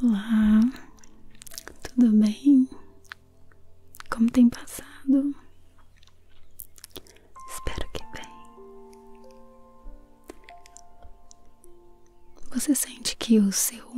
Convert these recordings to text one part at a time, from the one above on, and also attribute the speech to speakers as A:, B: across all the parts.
A: Olá, tudo bem? Como tem passado? Espero que bem. Você sente que o seu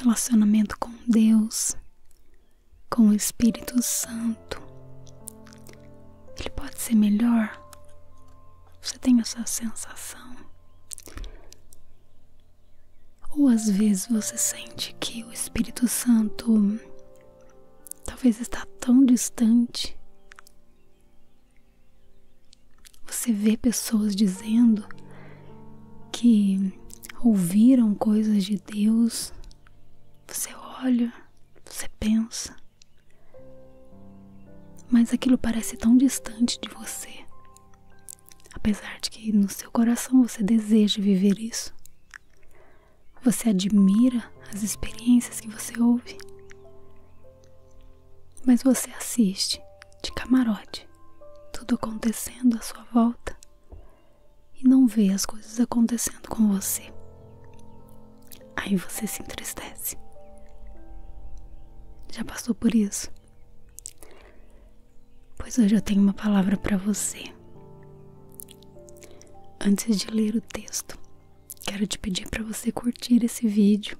A: relacionamento com Deus, com o Espírito Santo, ele pode ser melhor. Você tem essa sensação? Ou às vezes você sente que o Espírito Santo talvez está tão distante. Você vê pessoas dizendo que ouviram coisas de Deus, você olha, você pensa, mas aquilo parece tão distante de você, apesar de que no seu coração você deseja viver isso. Você admira as experiências que você ouve, mas você assiste de camarote, tudo acontecendo à sua volta e não vê as coisas acontecendo com você. Aí você se entristece. Já passou por isso? Pois hoje eu tenho uma palavra para você. Antes de ler o texto, quero te pedir para você curtir esse vídeo,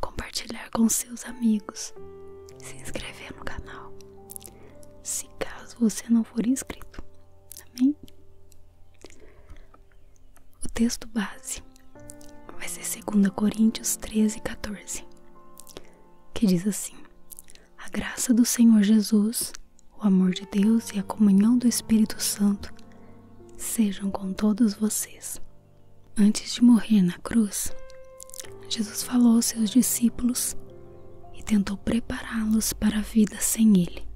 A: compartilhar com seus amigos, se inscrever no canal, se caso você não for inscrito. Amém? O texto base vai ser 2 Coríntios 13, 14, que diz assim: A graça do Senhor Jesus, o amor de Deus e a comunhão do Espírito Santo sejam com todos vocês. Antes de morrer na cruz, Jesus falou aos seus discípulos e tentou prepará-los para a vida sem Ele.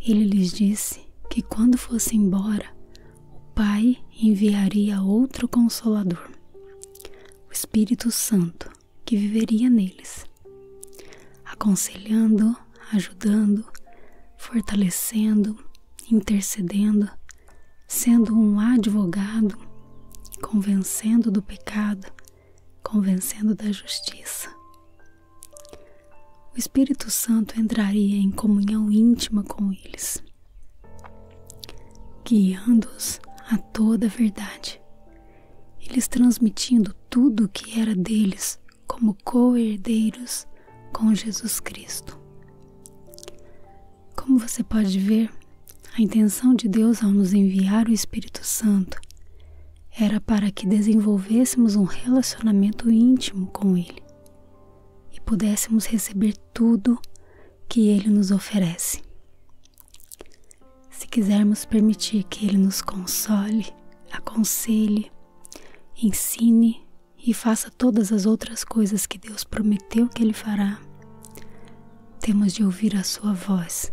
A: Ele lhes disse que quando fosse embora, o Pai enviaria outro Consolador, o Espírito Santo, que viveria neles, aconselhando, ajudando, fortalecendo, intercedendo sendo um advogado, convencendo do pecado, convencendo da justiça. O Espírito Santo entraria em comunhão íntima com eles, guiando-os a toda a verdade, eles transmitindo tudo o que era deles como co-herdeiros com Jesus Cristo. Como você pode ver, a intenção de Deus ao nos enviar o Espírito Santo era para que desenvolvêssemos um relacionamento íntimo com Ele e pudéssemos receber tudo que Ele nos oferece. Se quisermos permitir que Ele nos console, aconselhe, ensine e faça todas as outras coisas que Deus prometeu que Ele fará, temos de ouvir a Sua voz,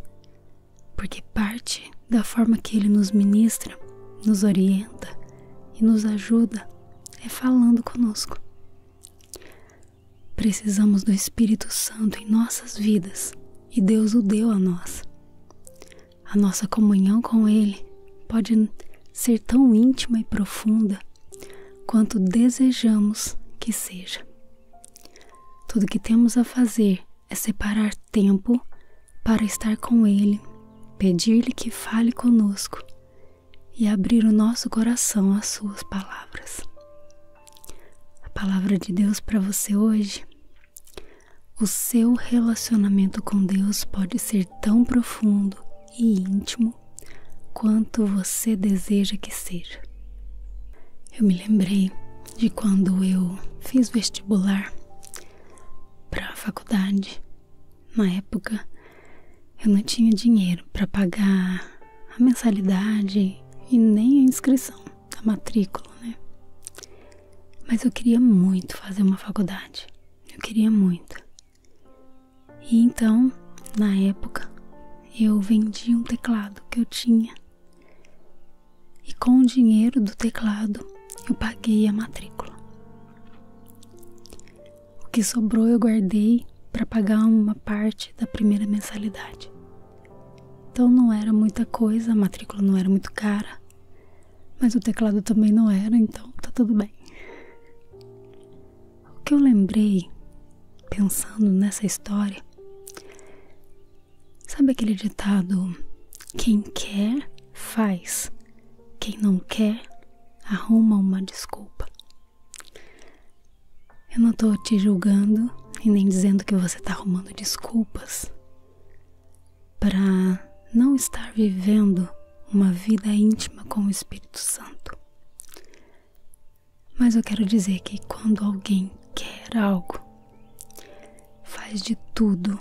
A: porque parte da forma que Ele nos ministra, nos orienta e nos ajuda é falando conosco. Precisamos do Espírito Santo em nossas vidas e Deus o deu a nós. A nossa comunhão com Ele pode ser tão íntima e profunda quanto desejamos que seja. Tudo o que temos a fazer é separar tempo para estar com Ele, pedir-lhe que fale conosco e abrir o nosso coração às Suas palavras. A palavra de Deus para você hoje. O seu relacionamento com Deus pode ser tão profundo e íntimo quanto você deseja que seja. Eu me lembrei de quando eu fiz vestibular para a faculdade. Na época, eu não tinha dinheiro para pagar a mensalidade e nem a inscrição, a matrícula, né? Mas eu queria muito fazer uma faculdade. Eu queria muito. E então, na época, eu vendi um teclado que eu tinha. E com o dinheiro do teclado, eu paguei a matrícula. O que sobrou eu guardei para pagar uma parte da primeira mensalidade. Então não era muita coisa, a matrícula não era muito cara. Mas o teclado também não era, então tá tudo bem. O que eu lembrei pensando nessa história, sabe aquele ditado: quem quer, faz, quem não quer, arruma uma desculpa. Eu não tô te julgando e nem dizendo que você tá arrumando desculpas para não estar vivendo uma vida íntima com o Espírito Santo. Mas eu quero dizer que quando alguém quer algo, faz de tudo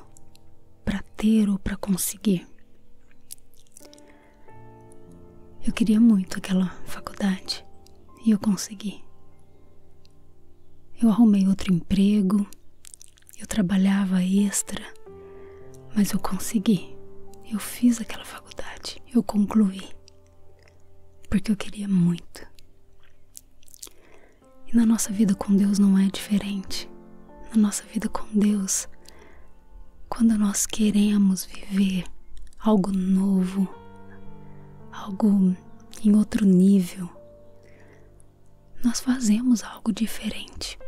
A: para ter ou para conseguir. Eu queria muito aquela faculdade e eu consegui. Eu arrumei outro emprego eu trabalhava extra, mas eu consegui. Eu fiz aquela faculdade, eu concluí. Porque eu queria muito. E na nossa vida com Deus não é diferente. Na nossa vida com Deus, quando nós queremos viver algo novo, algo em outro nível, nós fazemos algo diferente.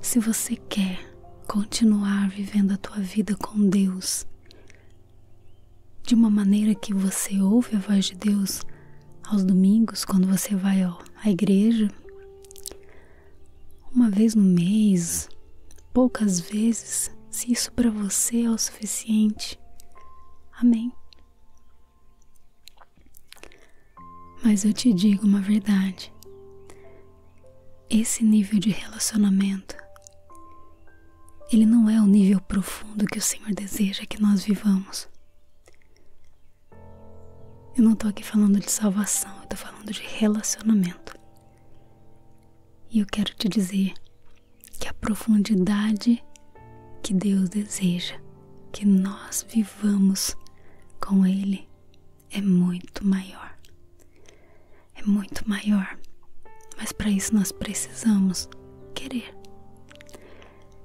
A: Se você quer continuar vivendo a tua vida com Deus, de uma maneira que você ouve a voz de Deus aos domingos, quando você vai ó, à igreja, uma vez no mês, poucas vezes, se isso para você é o suficiente. Amém. Mas eu te digo uma verdade: esse nível de relacionamento, ele não é o nível profundo que o Senhor deseja que nós vivamos. Eu não tô aqui falando de salvação, eu tô falando de relacionamento. E eu quero te dizer que a profundidade que Deus deseja que nós vivamos com Ele é muito maior. É muito maior, mas para isso nós precisamos querer.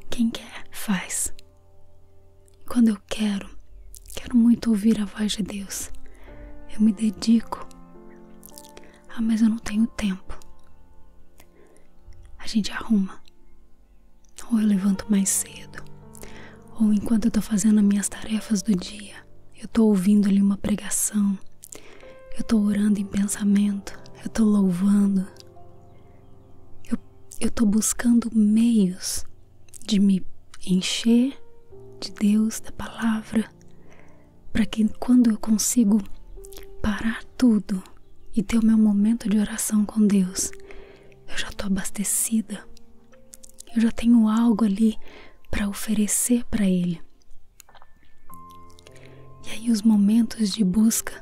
A: Quem quer, faz. Quando eu quero, quero muito ouvir a voz de Deus. Eu me dedico ah, mas eu não tenho tempo. A gente arruma. Ou eu levanto mais cedo. Ou enquanto eu tô fazendo as minhas tarefas do dia, eu tô ouvindo ali uma pregação. Eu tô orando em pensamento. Eu tô louvando. Eu, eu tô buscando meios de me encher de Deus, da palavra, para que quando eu consigo parar tudo e ter o meu momento de oração com Deus, eu já estou abastecida. Eu já tenho algo ali para oferecer para Ele. E aí os momentos de busca,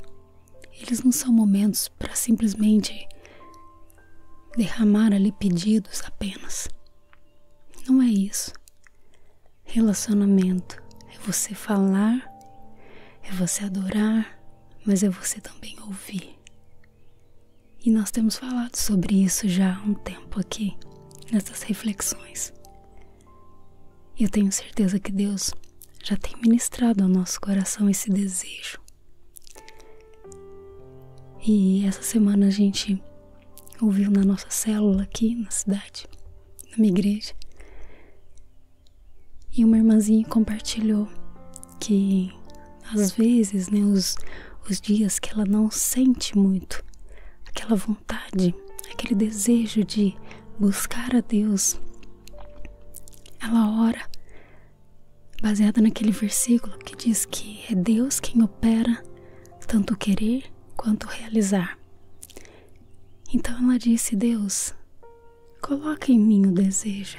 A: eles não são momentos para simplesmente derramar ali pedidos apenas. Não é isso. Relacionamento é você falar, é você adorar, mas é você também ouvir. E nós temos falado sobre isso já há um tempo aqui, nessas reflexões. E eu tenho certeza que Deus já tem ministrado ao nosso coração esse desejo. E essa semana a gente ouviu na nossa célula aqui na cidade na minha igreja. E uma irmãzinha compartilhou que às vezes, né, os, os dias que ela não sente muito aquela vontade, aquele desejo de buscar a Deus, ela ora baseada naquele versículo que diz que é Deus quem opera tanto querer quanto realizar. Então ela disse: Deus, coloca em mim o desejo,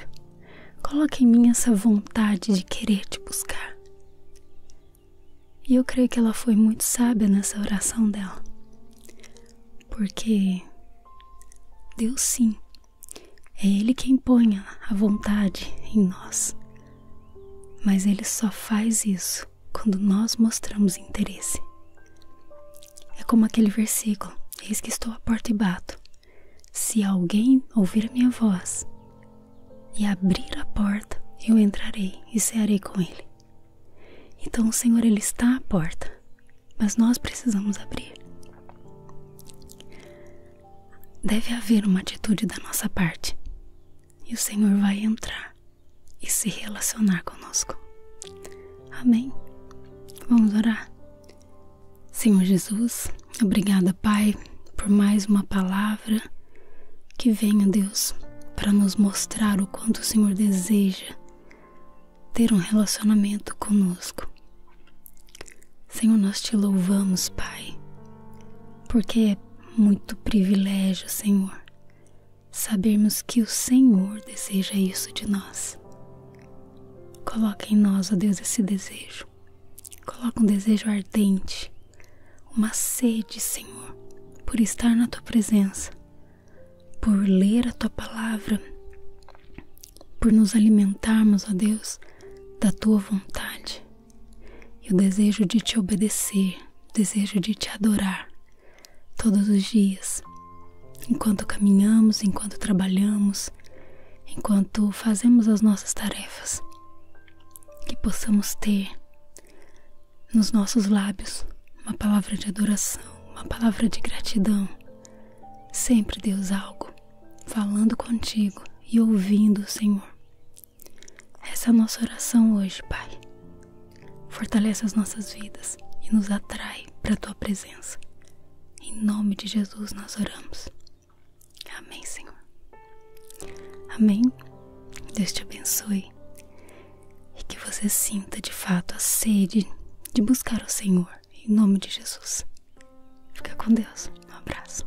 A: coloca em mim essa vontade de querer te buscar. E eu creio que ela foi muito sábia nessa oração dela, porque Deus sim, é Ele quem põe a vontade em nós, mas Ele só faz isso quando nós mostramos interesse. É como aquele versículo: Eis que estou à porta e bato. Se alguém ouvir a minha voz e abrir a porta, eu entrarei e cearei com ele. Então o Senhor ele está à porta, mas nós precisamos abrir. Deve haver uma atitude da nossa parte e o Senhor vai entrar e se relacionar conosco. Amém. Vamos orar. Senhor Jesus, obrigada, Pai, por mais uma palavra que venha, Deus, para nos mostrar o quanto o Senhor deseja ter um relacionamento conosco. Senhor, nós te louvamos, Pai, porque é muito privilégio, Senhor, sabermos que o Senhor deseja isso de nós. Coloca em nós, ó Deus, esse desejo. Coloca um desejo ardente, uma sede, Senhor, por estar na tua presença, por ler a tua palavra, por nos alimentarmos, ó Deus, da tua vontade. E o desejo de te obedecer, o desejo de te adorar todos os dias, enquanto caminhamos, enquanto trabalhamos, enquanto fazemos as nossas tarefas, que possamos ter nos nossos lábios uma palavra de adoração, uma palavra de gratidão. Sempre, Deus, algo falando contigo e ouvindo o Senhor essa é a nossa oração hoje, Pai. Fortalece as nossas vidas e nos atrai para a tua presença. Em nome de Jesus nós oramos. Amém, Senhor. Amém. Deus te abençoe e que você sinta de fato a sede de buscar o Senhor, em nome de Jesus. Fica com Deus. Um abraço.